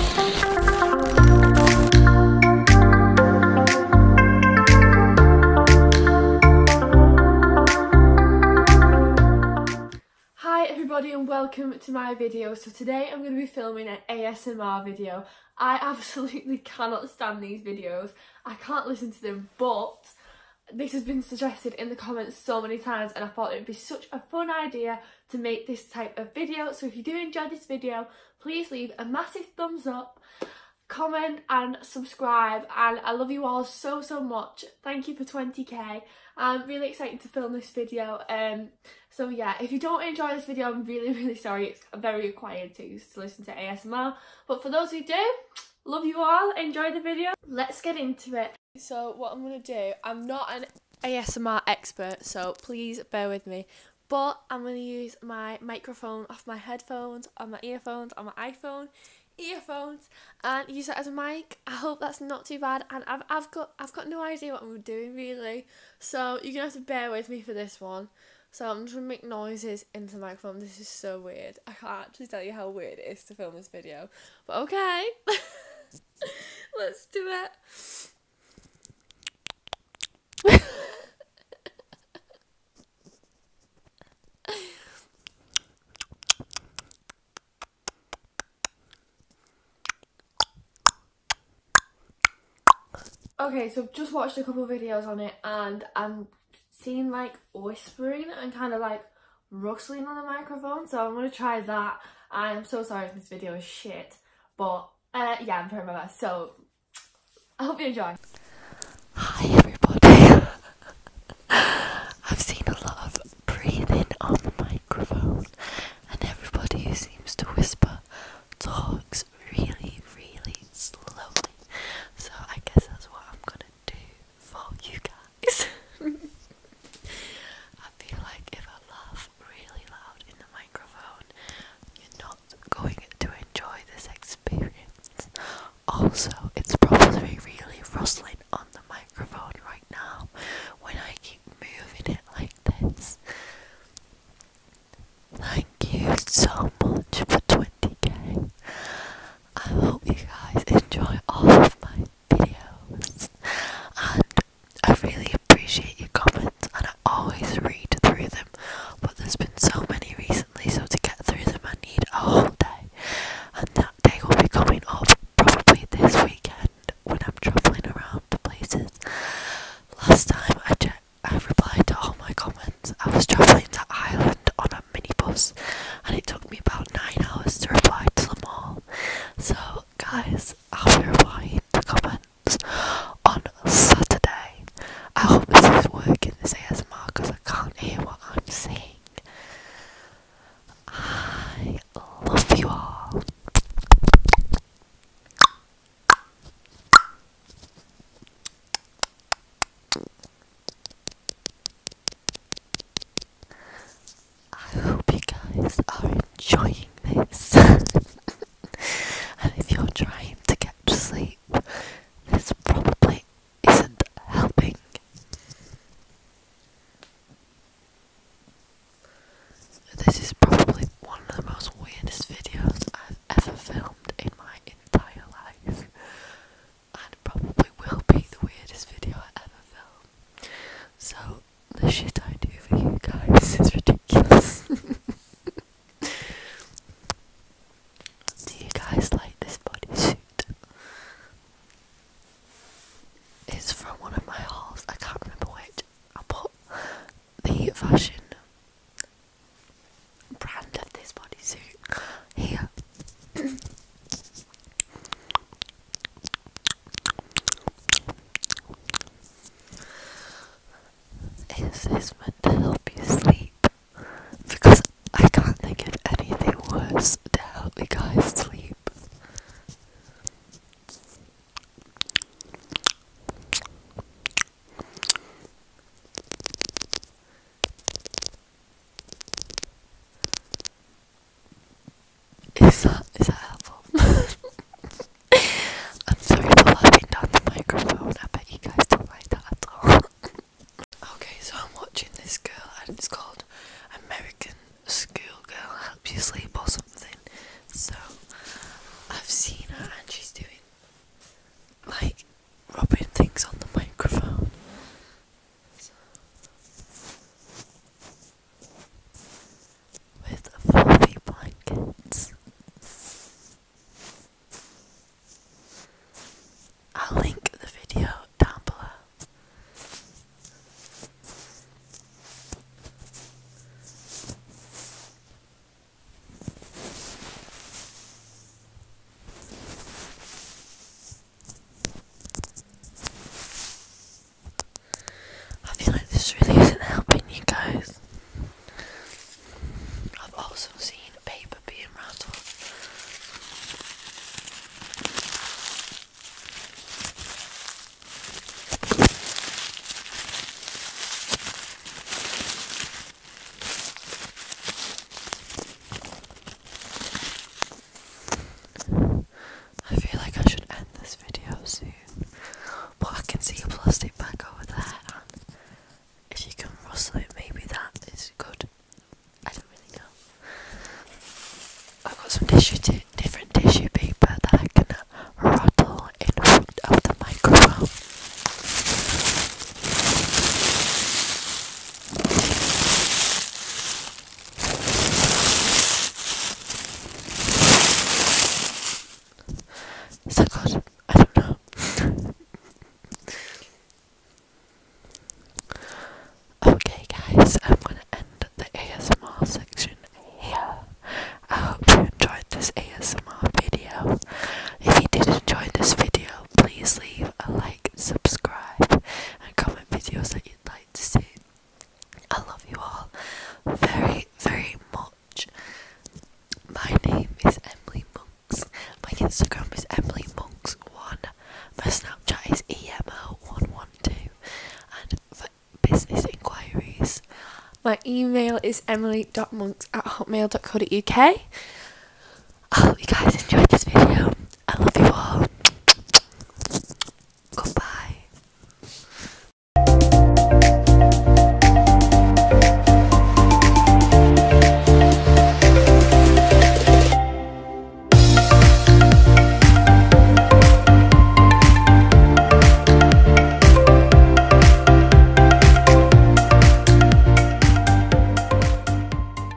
Hi everybody and welcome to my video. So today I'm going to be filming an ASMR video. I absolutely cannot stand these videos. I can't listen to them but this has been suggested in the comments so many times and I thought it would be such a fun idea to make this type of video. So if you do enjoy this video, please leave a massive thumbs up, comment and subscribe. And I love you all so, so much. Thank you for 20k. I'm really excited to film this video. Um, so yeah, if you don't enjoy this video, I'm really, really sorry. It's very required to, to listen to ASMR. But for those who do, love you all enjoy the video let's get into it so what i'm gonna do i'm not an ASMR expert, so please bear with me. But I'm going to use my microphone off my headphones, on my earphones, on my iPhone earphones and use it as a mic. I hope that's not too bad and I've, I've got I've got no idea what I'm doing really. So you're gonna have to bear with me for this one. So I'm just gonna make noises into the microphone. This is so weird. I can't actually tell you how weird it is to film this video. But okay. Let's do it okay so just watched a couple videos on it and I'm seeing like whispering and kind of like rustling on the microphone so I'm going to try that I am so sorry if this video is shit, but uh, yeah, I'm trying my best. So I hope you enjoy. Hi everybody. I've seen a lot of breathing on the microphone and everybody who seems to whisper talks really, really slowly. So I guess that's what I'm gonna do for you guys. I feel like if I laugh really loud in the microphone, you're not going to enjoy this experience. Also, it's probably really rustling on the microphone right now when I keep moving it like this. Thank you so much for 20k. I hope you guys enjoy all of my videos. And I really appreciate your comments and I always read through them. But there's been so many recently, so to get through them, I need a whole day. And that day will be coming up probably this weekend when I'm travelling around the places. Last time I checked. I replied to all my comments. I was travelling to Ireland on a minibus and it took me about 9 hours to reply to them all. So, guys, I'll be please in the comments on Saturday. I hope this is working this ASMR because I can't hear what I'm saying. I love you all. I hope you guys are enjoying this. and if you're trying to get to sleep, this probably isn't helping. This is probably one of the most weirdest videos I've ever filmed in my entire life. And probably will be the weirdest video I ever film. So the shit I do for you guys is ridiculous. do you guys like this bodysuit? It's from one of my hauls, I can't remember which. I'll put the fashion brand of this bodysuit here. Is this meant to help you sleep? Because I can't think of anything worse to help you guys sleep. Is that is that helpful? I'm sorry for laughing down the microphone. I bet you guys don't like that at all. okay, so I'm watching this girl, and it's called American Schoolgirl Help You Sleep or something. So I've seen her, and she's doing like rubbing things on the microphone with fluffy blankets. I'll link the video down below. I feel like this really isn't helping you guys. I've also seen paper being rattled. I feel like I should end this video soon. But I can see a plastic bag over there, if you can rustle it, maybe that is good. I don't really know. I've got some different tissue paper that I can rustle in front of the microphone. Is that good? I don't know. okay, guys, I'm gonna end the ASMR section here. I hope you enjoyed this ASMR video. If you did enjoy this video, please leave a like, subscribe, and comment videos that you'd like to see. I love you all very, very much. My name is Emily Monks. My Instagram is Emily Monks1. My Snapchat is EMO112. And for business inquiries, my email is emily.monks at hotmail.co.uk. I oh, hope you guys enjoyed this video. I love you all. Goodbye.